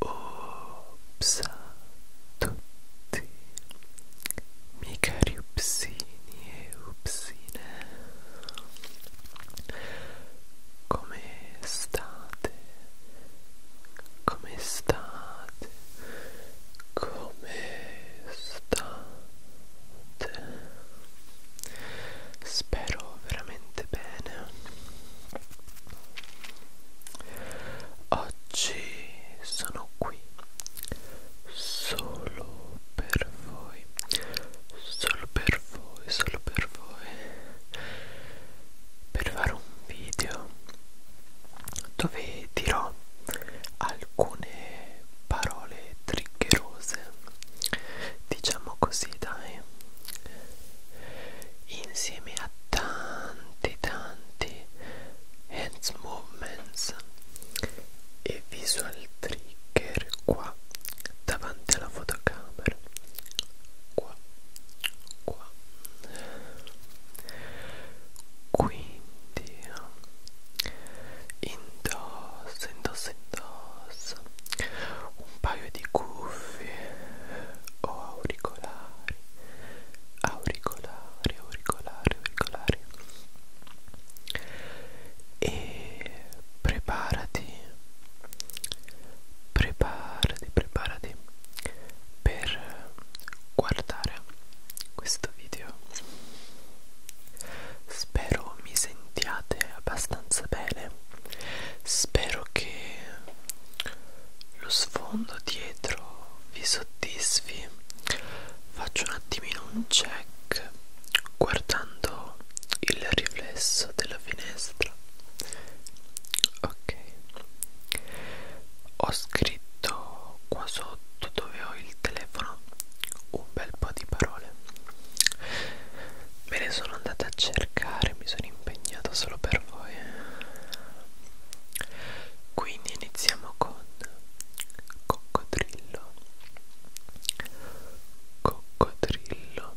Ops a tutti, miei cari e upsine, come state? Come state? Come state? Spero veramente bene. Oggi sono qui solo per voi, solo per voi, solo per voi per fare un video dove dirò alcune parole triggerose diciamo così dai insieme a tanti tanti hands movements e visual trigger qua davanti alla fotocamera qua qua quindi indossa indossa indossa un paio di cuffie o auricolari auricolari auricolari auricolari e preparati preparati preparati per guardare questo video spero mi sentiate abbastanza bene spero che lo sfondo dietro vi soddisfi faccio un attimino un check guardando il riflesso della finestra ok ho scritto qua sotto dove ho il telefono un bel po' di parole me ne sono andata a cercare mi sono impegnato solo per voi eh. quindi iniziamo con coccodrillo coccodrillo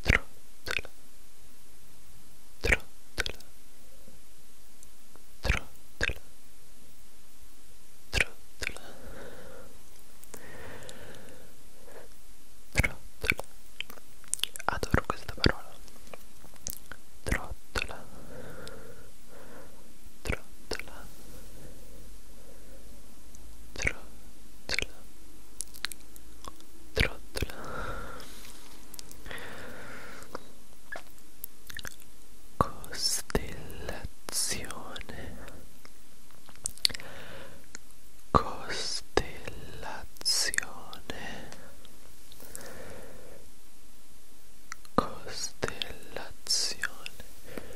trottola, trottola, trottola, trottola, trottola, adoro questa parola, trottola, trottola, trottola, trottola trottola costellazione costellazione costellazione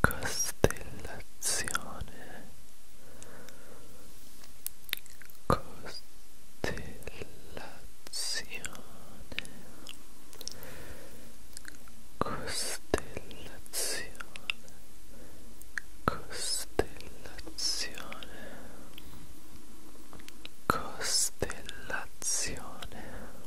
costellazione costellazione costellazione costellazione costellazione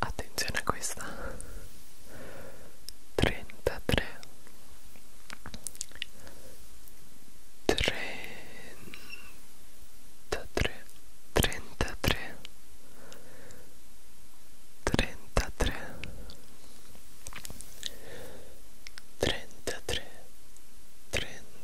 attenzione a questa 33 33 33 33 33 33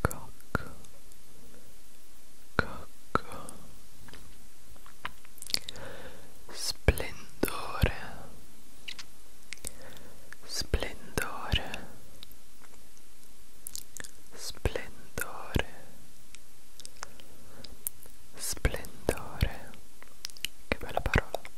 cocco cocco splendore splendore splendore splendore che bella parola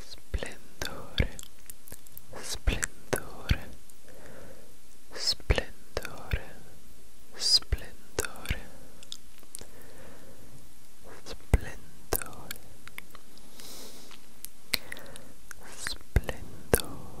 Splendore, splendore, splendore, splendore, splendore, splendore, splendore.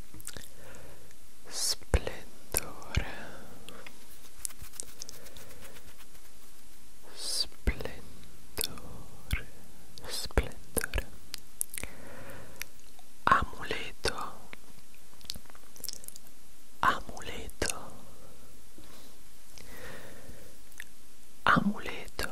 Splendor, splendor, splendor. Amuleto Amuleto Amuleto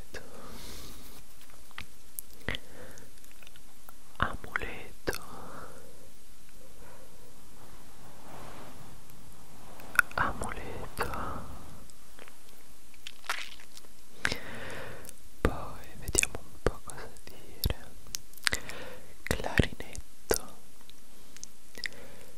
amuleto amuleto poi vediamo un po' cosa dire clarinetto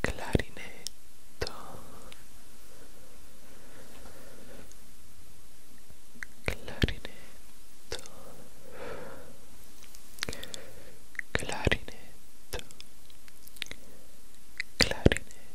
clarinetto clarinetto clarinetto clarinetto clarinetto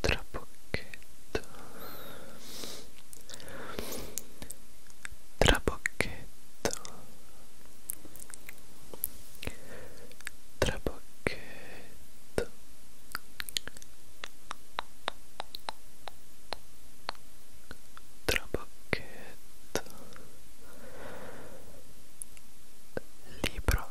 trabocchetto trabocchetto trabocchetto trabocchetto libro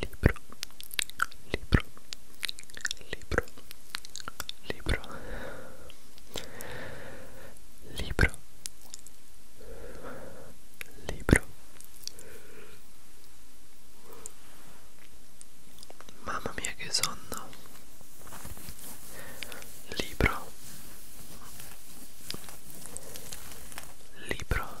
libro, libro, libro, libro, libro, libro. Mamma mia che sonno. Libro. Libro.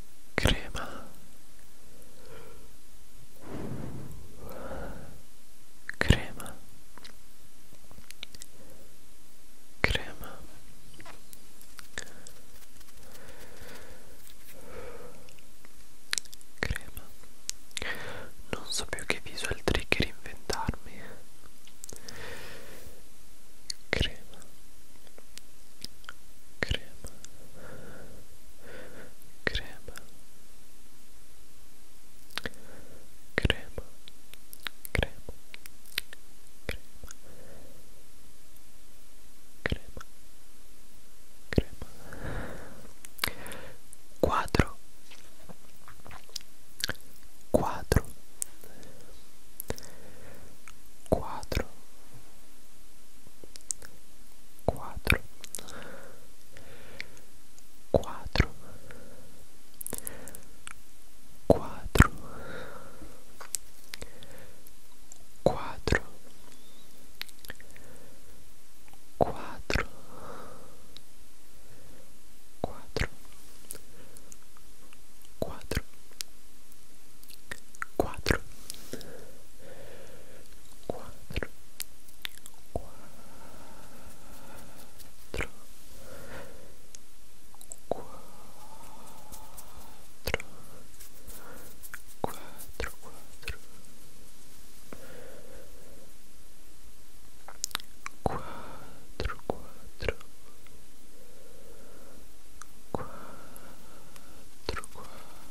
crema crema crema crema non so più che visual trigger inventarmi crema crema, crema, crema, crema, crema, crema, crema, quadro, quadro, quadro. quattro quattro quattro quattro quattro quattro quattro quatro, quatro, quatro, quatro, quatro, quatro. Quatro, quatro, quatro, quatro,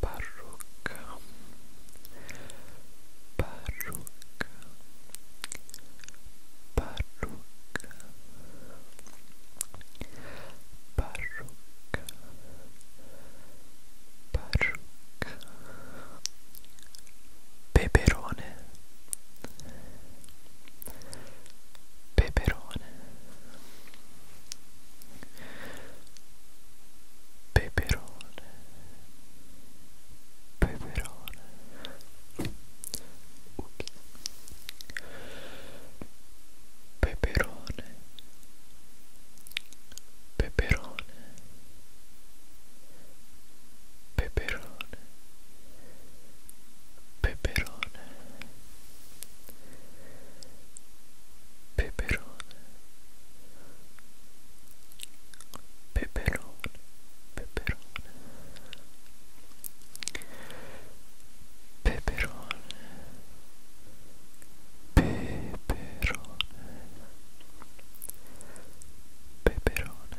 parrucca parrucca parrucca parrucca parrucca peperone peperone peperone peperone peperone okay. peperone peperone peperone peperone peperone peperone peperone peperone peperone peperone peperone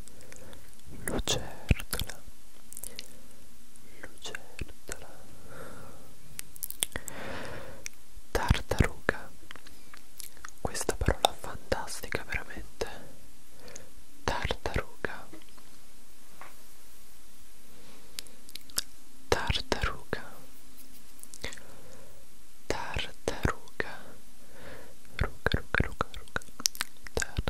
lucertola lucertola tartaruga questa parola fantastica veramente tartaruga tartaruga tartaruga ruga ruga ruga ruga tartaruga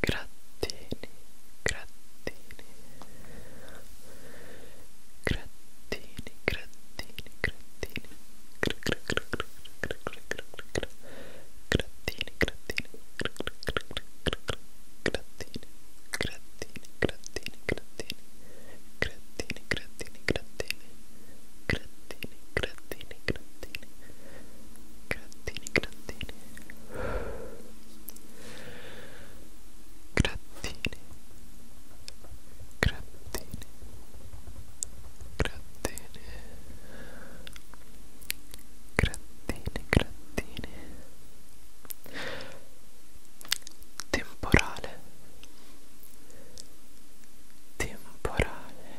grattini grattini grattini grattini grattini grattini grattini grattini grattini grattini Grattini, grattini, grattini, grattini, grattini, grattini, grattini, grattini grattini grattini grattini grattini grattini temporale temporale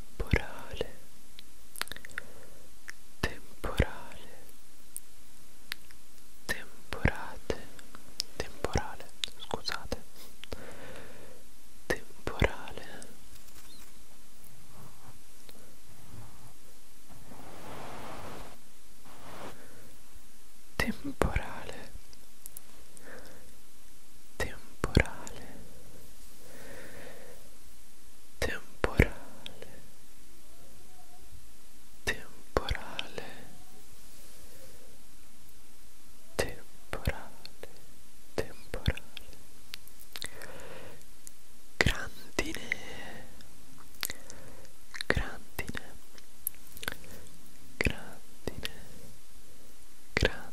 temporale temporale temporate temporale scusate temporale temporale temporale temporale temporale temporale temporale grandine grandine grandine grandine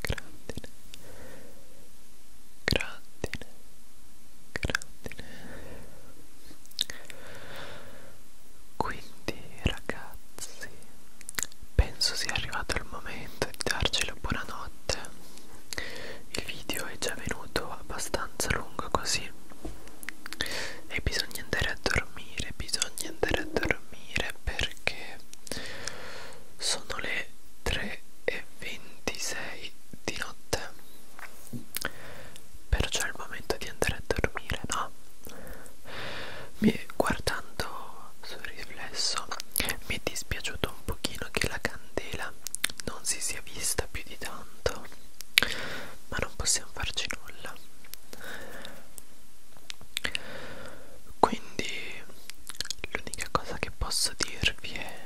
grandine grandine grandine quindi ragazzi penso sia arrivato il momento di darcelo buonanotte il video è già venuto abbastanza lungo così e bisogna andare a dormire bisogna andare a dormire perché sono le 3 e 26 di notte perciò è il momento di andare a dormire no mi, guardando sul riflesso mi è dispiaciuto un pochino che la candela non si sia vista più di tanto ma non possiamo farci nulla quindi l'unica cosa che posso dirvi è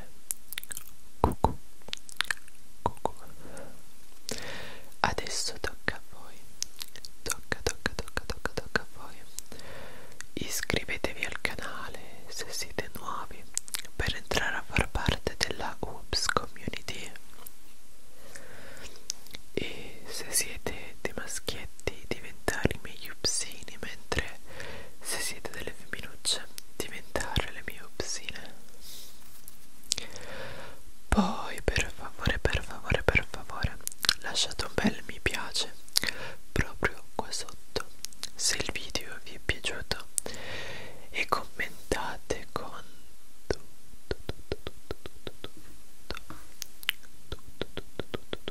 cucù cucù adesso tocca a voi tocca tocca tocca tocca tocca a voi iscrivetevi al canale se siete nuovi per entrare a far parte della Oops community e se siete di maschietti maschietti diventare i miei upsini, mentre se siete delle femminucce diventare le mie upsine. Poi per favore, per favore, per favore, lasciate un bel mi piace proprio qua sotto se il video vi è piaciuto e commentate con tutto, tutto, tutto, tutto, tutto, tutto, tutto, tutto, tutto,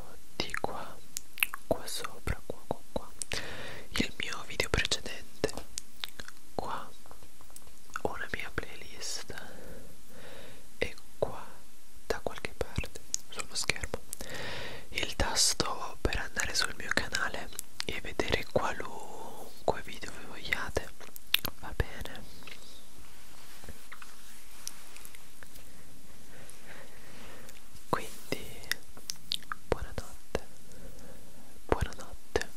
di qua qua sopra qua qua qua il mio video precedente qua una mia playlist e qua da qualche parte sullo schermo il tasto per andare sul mio canale e vedere qualunque video vi vogliate va bene quindi buonanotte buonanotte buonanotte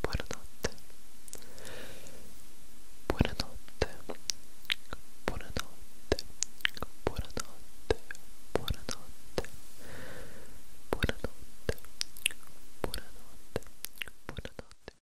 buonanotte buonanotte buonanotte buonanotte buonanotte buonanotte buonanotte